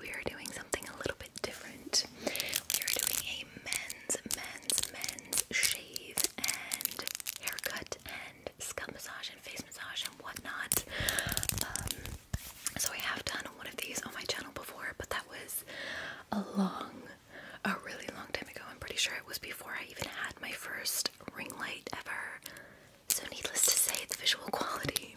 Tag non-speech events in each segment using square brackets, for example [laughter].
we are doing something a little bit different. We are doing a men's, men's, men's shave and haircut and scalp massage and face massage and whatnot. Um, so I have done one of these on my channel before, but that was a long, a really long time ago. I'm pretty sure it was before I even had my first ring light ever. So needless to say, the visual [laughs] quality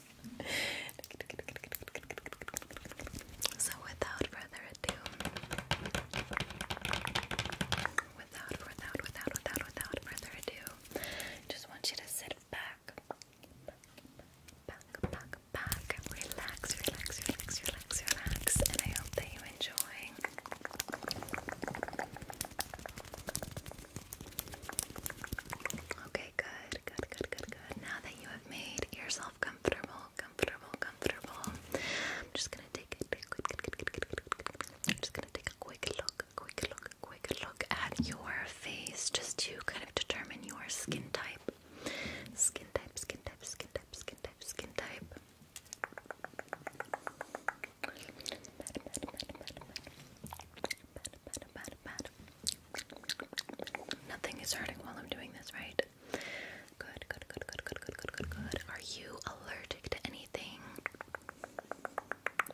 So without further ado, without, without, without, without, without further ado, I just want you to sit back, back, back, back, relax, relax, relax, relax, relax, and I hope that you enjoy. Okay, good, good, good, good, good. Now that you have made yourself comfortable, comfortable, comfortable, I'm just gonna take a quick, quick, quick, quick, quick, I'm just gonna take a quick look, quick look, quick look at your face, just to kind of determine your skin type, skin type, skin type, skin type, skin type, Nothing is hurting while I'm doing this, right? Good, good, good, good, good, good, good, good, Are you allergic to anything?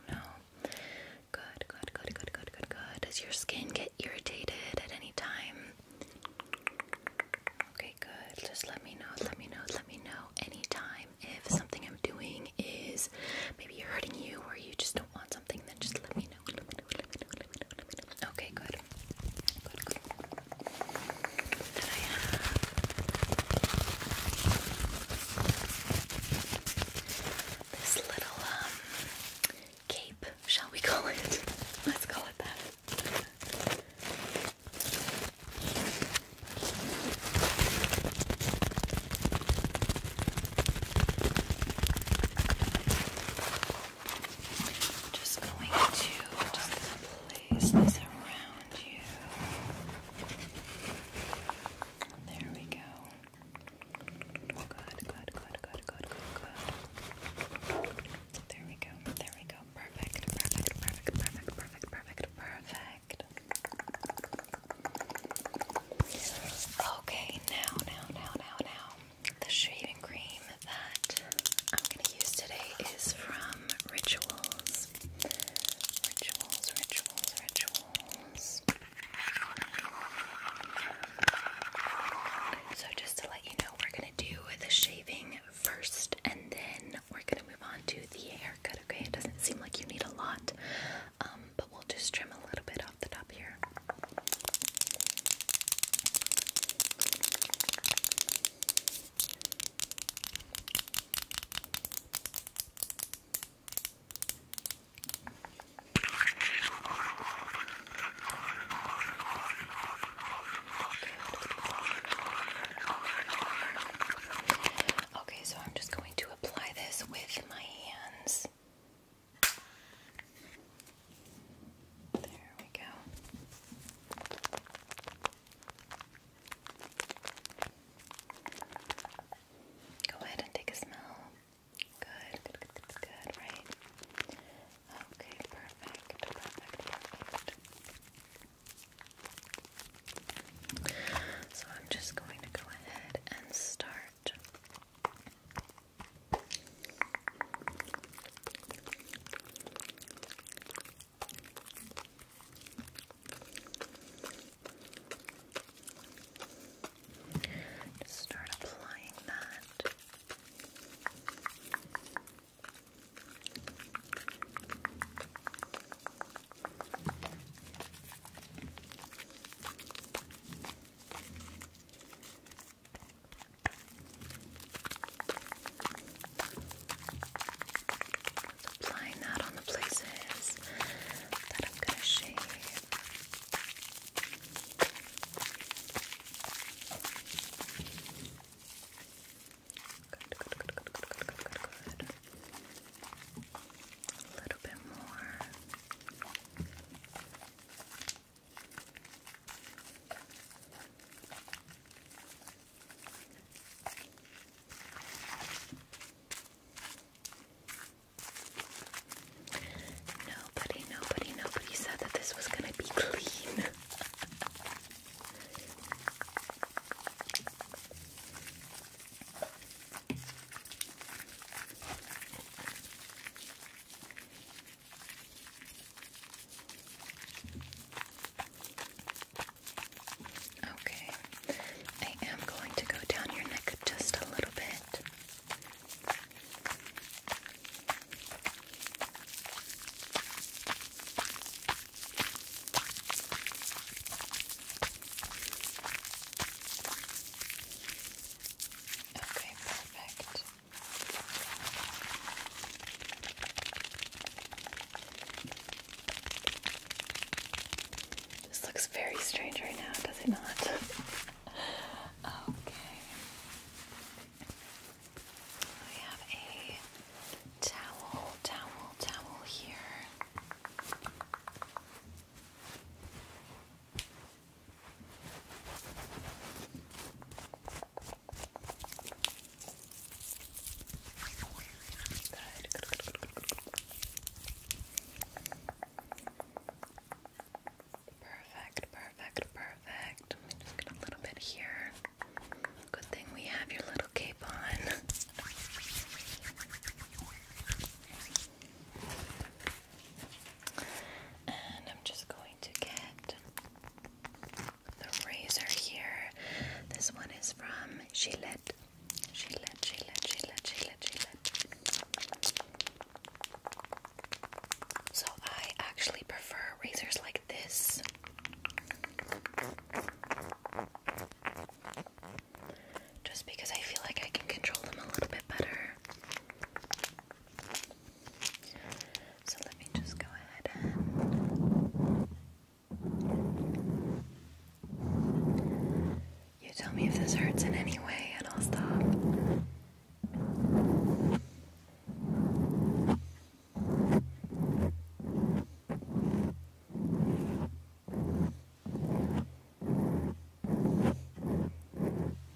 No. Good, good, good, good, good, good, good. Does your skin get irritated at any time? Okay, good. Just let me know, let me know, let me know anytime if something I'm doing is maybe hurting you or you just don't want something, then just let me know, Okay, good. this little um, cape, shall we call it? [laughs] Let's call it that. I'm just going to just place this around you. There we go. Good, good, good, good, good, good, good. There we go. There we go. Perfect. Perfect. Perfect. Perfect. Perfect. Perfect. Perfect. Okay, now, now, now, now, now the shaving cream that I'm going to use today is from Rituals. Rituals, rituals, rituals. So, just to let you know, we're going to do the shaving first and then we're going to move on to the haircut, okay? It doesn't seem like you need a lot, um, but we'll just trim a little bit the top here. Okay, so I'm just going to apply this with my hands. There we go. Go ahead and take a smell. Good, good, good, right? Okay, perfect, perfect, perfect. So I'm just going to go ahead and start just start applying that. Applying that on the places that I'm going to shave. Good, good, good, good, good, good, good, good, A little bit more. Nobody, nobody, nobody said that this was gonna be [laughs] clean. Okay, I am going to go down your neck just a little bit. Okay, perfect. This looks very strange right now, does it not? [laughs] okay. We have a towel, towel, towel here. Perfect, perfect, perfect. Let just get a little bit here. Good thing we have your little cape on. And I'm just going to get the razor here. This one is from Gillette. Gillette, Gillette, Gillette, Gillette, Gillette. So I actually prefer razors like this. Just because I feel like I can control them a little bit better. So let me just go ahead You tell me if this hurts in any way, and I'll stop.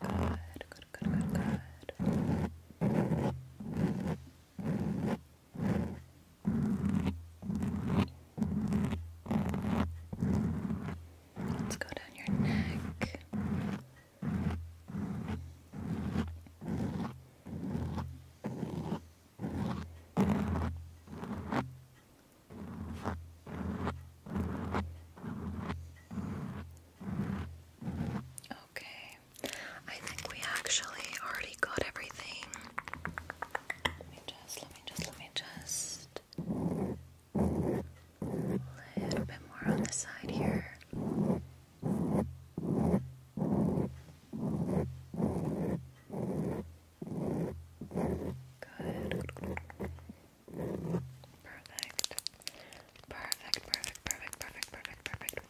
Good, good, good, good, Let's go down your neck. Okay. I think we actually already got everything. Let me just, let me just, let me just. A little bit more on the side here. Good. Perfect. Perfect, perfect, perfect, perfect, perfect, perfect,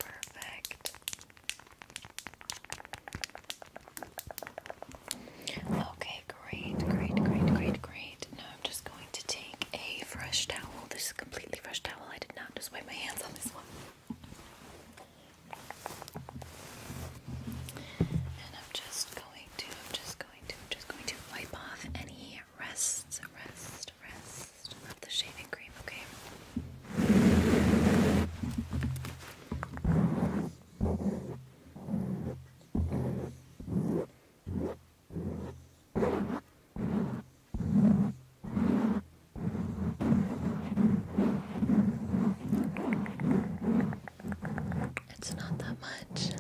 perfect. Okay, great, great, great, great, great. Now I'm just going to take a fresh towel. This is a completely fresh towel. I did not just wipe my hands on this one. And I'm just going to, I'm just going to, I'm just going to wipe off any rest, rest, rest of the shaving cream, okay? It's not that much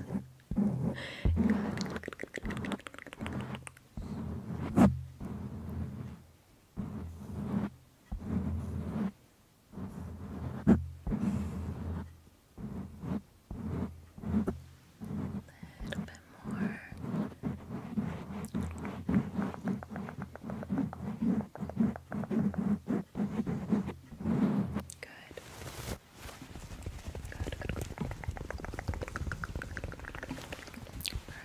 little bit more. Good. Good, good, good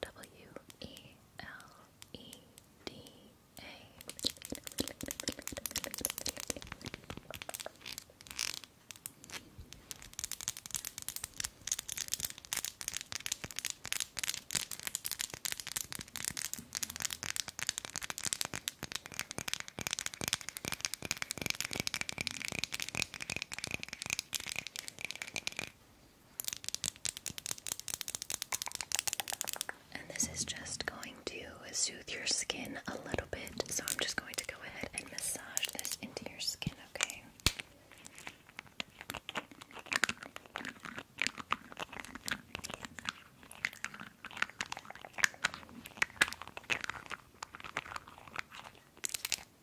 W E L E D A. And this is just going to soothe your skin a little bit. So I'm just going to go ahead and massage this into your skin, okay? we go.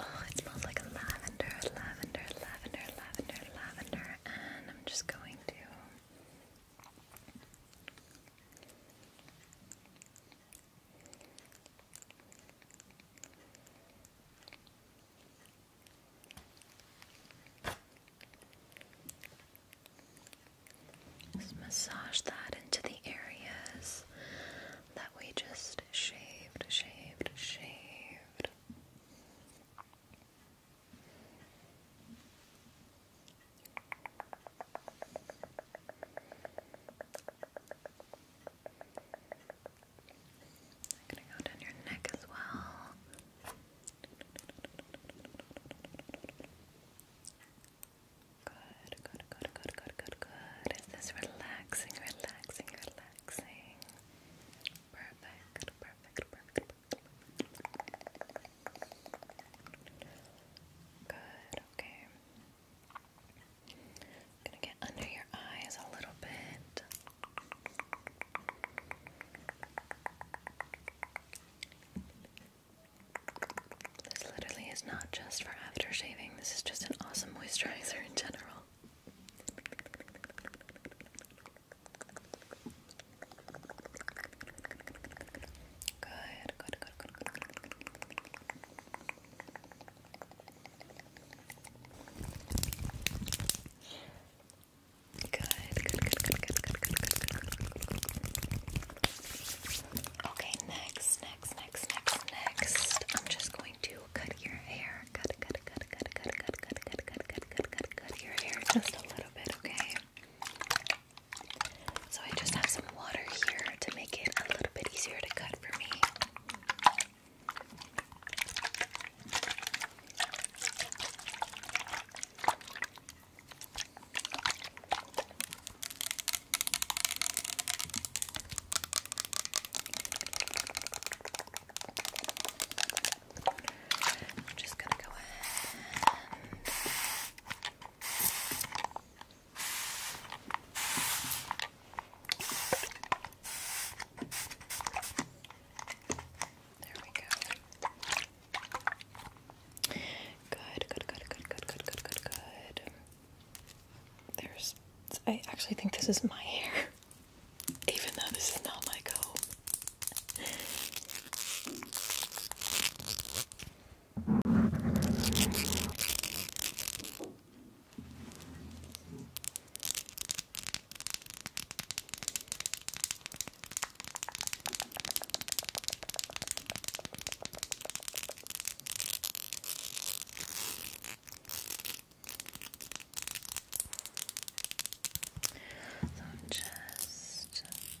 Oh, it smells like lavender, lavender, lavender, lavender, lavender, and I'm just going to just massage that into the areas that we just shaved, shaved, shaved. I'm gonna go down your neck as well. Good, good, good, good, good, good, good. Is this relaxing, relaxing, relaxing? Perfect, perfect, perfect, Good, okay. gonna get under your eyes a little bit. This literally is not just for after shaving, this is just an awesome moisturizer in general. Good, good, good, good, good, good. Good, good, good, good, good, good, good, good. Okay, next, next, next, next, next. I'm just going to cut your hair. cut, cut, cut, cut, cut, cut, cut, cut, cut, cut, cut, cut your hair just a little bit, okay? So I just have some water here to make it a little bit easier to cut for me. I'm just gonna go ahead there we go. Good, good, good, good, good, good, good, good, good. There's. I actually think this is my hair, [laughs] even though this is not my comb. So I'm just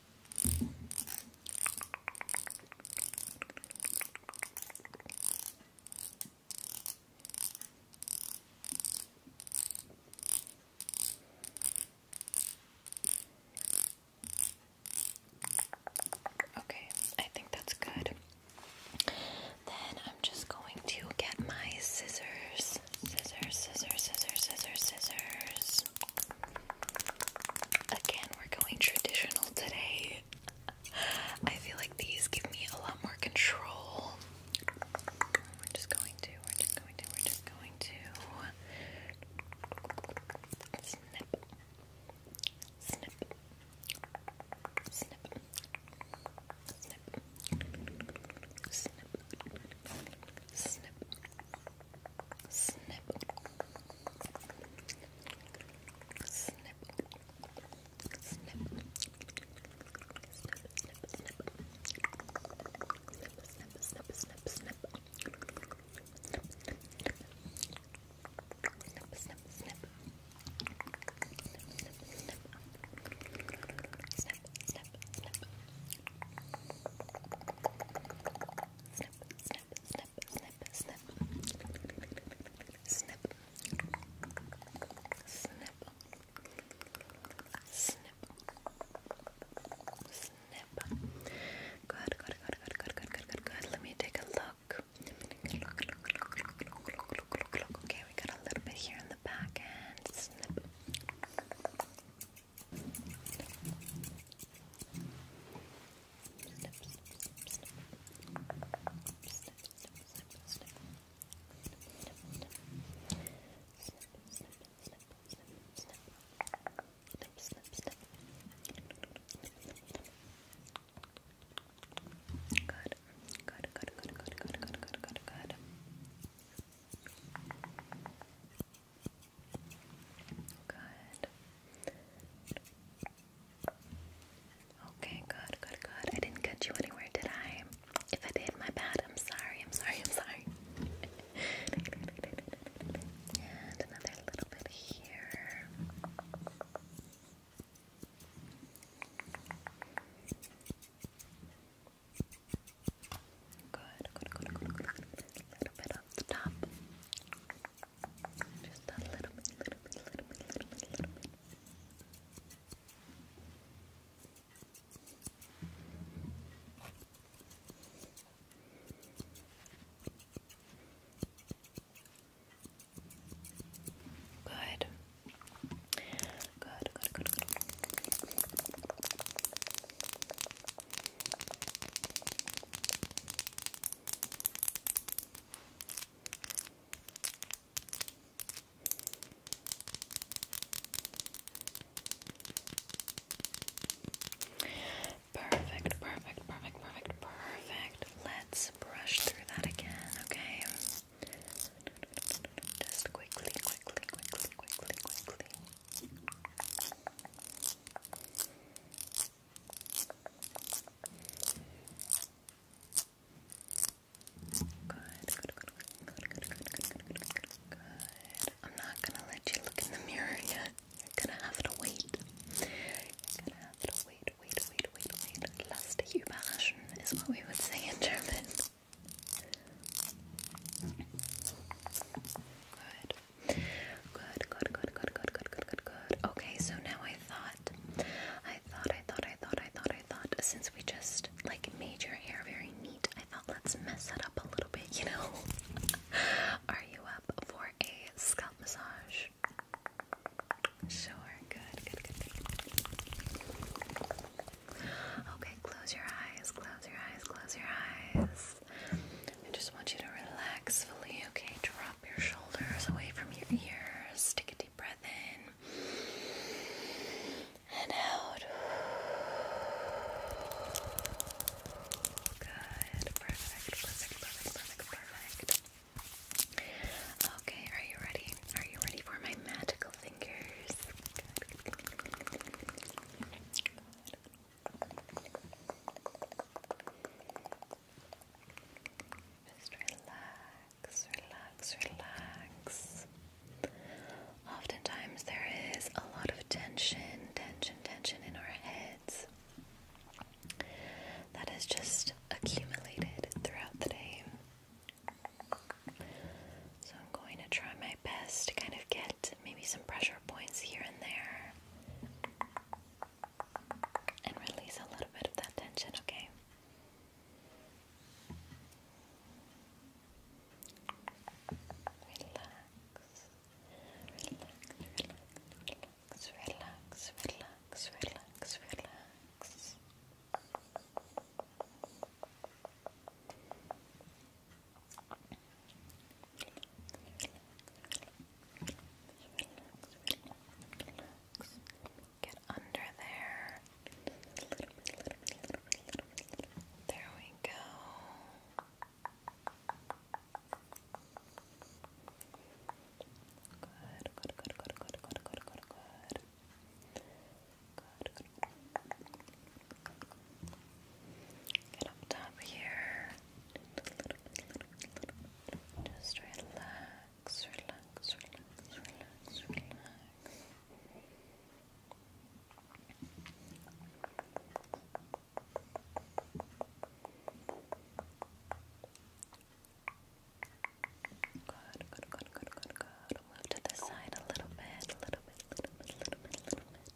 Okay, I think that's good. Then I'm just going to get my scissors. Scissors, scissors, scissors, scissors, scissors. Again, we're going traditional today. I feel like these give me a lot more control. We're just going to, we're just going to, we're just going to snip, snip, snip, snip, snip, snip, Snip. Snip. Snip. Snip. Snip. Snip. Snip. Snip. Snip. Snip. Snip. Snip. Snip. Snip, snip, snip. Snip, snip, snip snip, snip, snip, snip, snip, snip. Good, good, good, good, good, good, good, good, good. Let me take a look. Look, look, look, look, look, look, look, look. Okay, we got a little bit here in the back and snip snip, snip, Good, good, good, good, good, good, good, good, good. Good. Okay, good, good, good. I didn't cut you anywhere, did I? If I did, my bad. I'm sorry, I'm sorry, I'm sorry. and another little bit here. Good, good, good, good, good. A little bit off the top. Just a little bit, little bit, little bit, little bit, little bit. Good. Good, good, good, Perfect, perfect, perfect, perfect, perfect. Let's brush through that again, okay? Just quickly, quickly, quickly, quickly, quickly good, good, good, good, good, good, good, good, good. I'm not gonna let you look in the mirror yet. You're gonna have to wait. You're gonna have to wait, wait, wait, wait, wait. Lasst überraschen is what we would say in German. Good. Good, good, good, good, good, good, good, good, good. Okay, so now I thought, I thought, I thought, I thought, I thought, I thought, since we just like made your hair very neat, I thought let's mess that up a little bit, you know? [laughs] Are you up for a scalp massage? Sure, good, good, good. Okay, close your eyes, close your eyes, close your eyes. I just want you to relax fully, okay? Drop your shoulders away from your ears. Take a deep breath in and out. Good. Perfect. Perfect. Perfect. Perfect. Okay, are you ready? Are you ready for my magical fingers? Just relax, relax, relax. Oftentimes, there is a lot of tension, tension, tension in our heads that is just accumulated throughout the day. So, I'm going to try my best to kind of get maybe some pressure points here and there and release a little bit of that tension, okay? Relax, relax, relax, relax, relax, relax, relax relax. Get under there. There we go. Good, good, good, good, good, good, good, good, good. Get up top here. Just relax relax, relax, relax, relax, relax. Good, good, good, good, good, Move to the side a little bit, a little bit, a little bit, a little bit, a little bit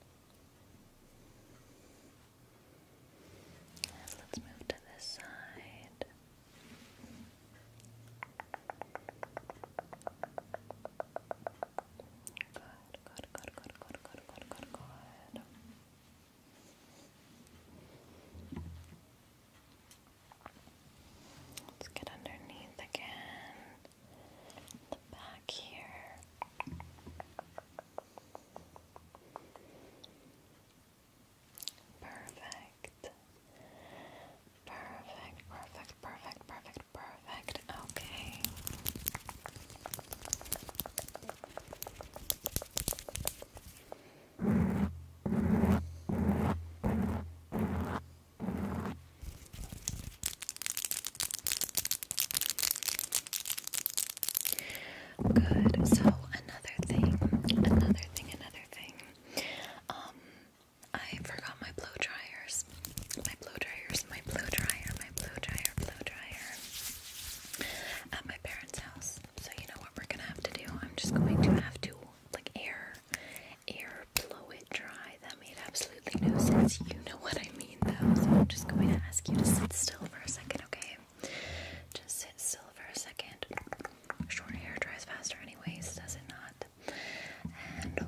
let's move to this side. Good, good, good, good, good, good, good, good, good. Let's get underneath again. The back here. Perfect. Perfect, perfect, perfect, perfect, perfect. Okay. Good. So another thing, another thing, another thing. Um, I forgot my blow dryers. My blow dryers, my blow dryer, my blow dryer, blow dryer. At my parents' house. So you know what we're gonna have to do? I'm just going to have to like air, air blow it dry. That made absolutely no sense. You know what I mean though. So I'm just going to ask you to sit still for a second, okay? Just sit still for a second. Short hair dries faster, anyways, does it not? good.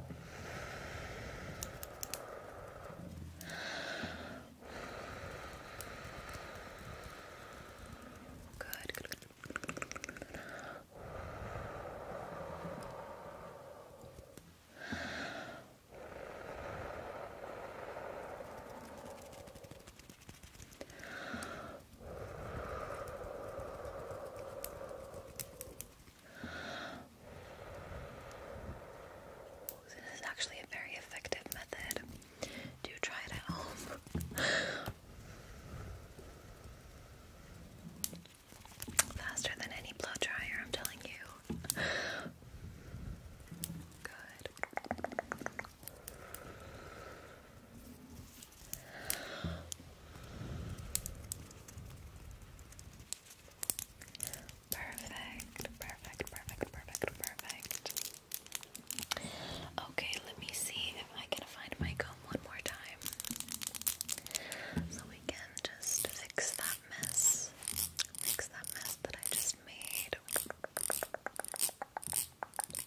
This is actually a very effective method. Do try it at home. Faster than any blow dryer, I'm telling you. Good. Perfect, perfect, perfect, perfect, perfect. Okay, let me see if I can find my comb one more time. So we can just fix that mess. Fix that mess that I just made.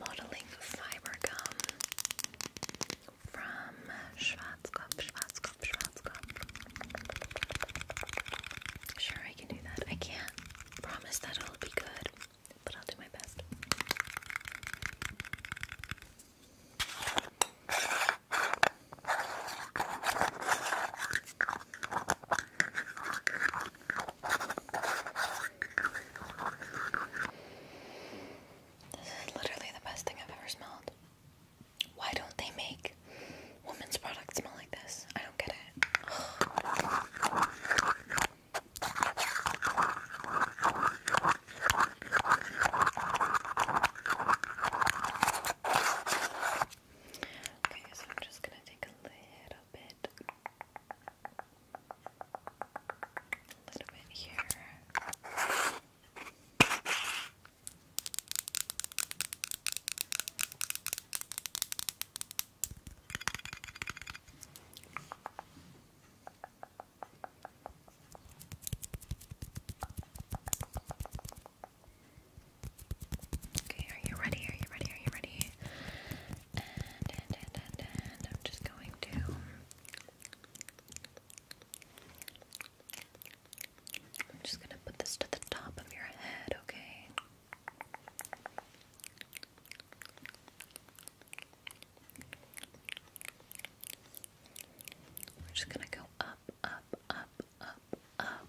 modeling fiber gum from Schwarzkopf, Schwarzkopf, Schwarzkopf. Sure, I can do that. I can't promise that i will be good, but I'll do my best. This is literally the best thing I've ever smelled. Why don't they make women's products smell like this? I don't get it. [sighs] Okay, so I'm just gonna take a little bit. Okay, are you ready? Are you ready? Are you ready? and, and, and, and, I'm just going to I'm just gonna put this to the top of your head, okay? We're just gonna go up, up, up, up, up.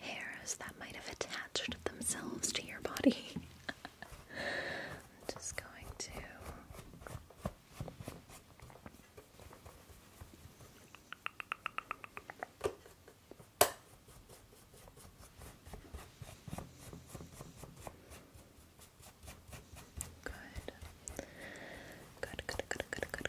hairs that might have attached themselves to your body. [laughs] I'm just going to. Good. Good, good, good, good, good.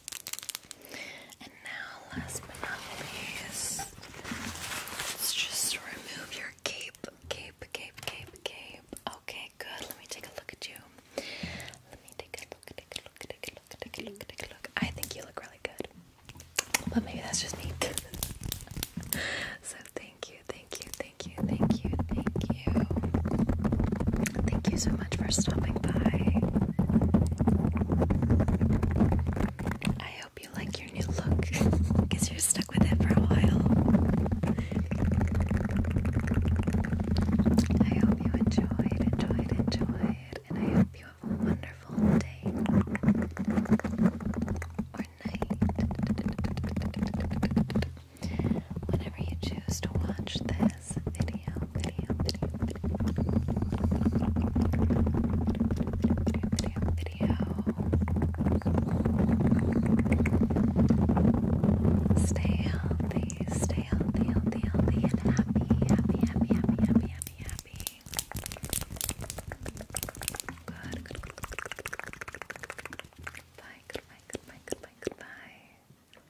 And now, last but not least, let's just remove your cape, cape, cape, cape, cape. Okay, good. Let me take a look at you. Let me take a look, take a look, take a look, take a look, take a look. I think you look really good, but maybe that's just me. [laughs] so thank you, thank you, thank you, thank you, thank you. Thank you so much for stopping by. I hope you like your new look because you're stuck with it for a while. I hope you enjoyed, enjoyed, enjoyed, and I hope you have a wonderful day or night whenever you choose to watch this video, video, video, video, Stay healthy, stay healthy, healthy, and happy, happy, happy, happy, happy, happy, Good, goodbye, goodbye, goodbye, goodbye.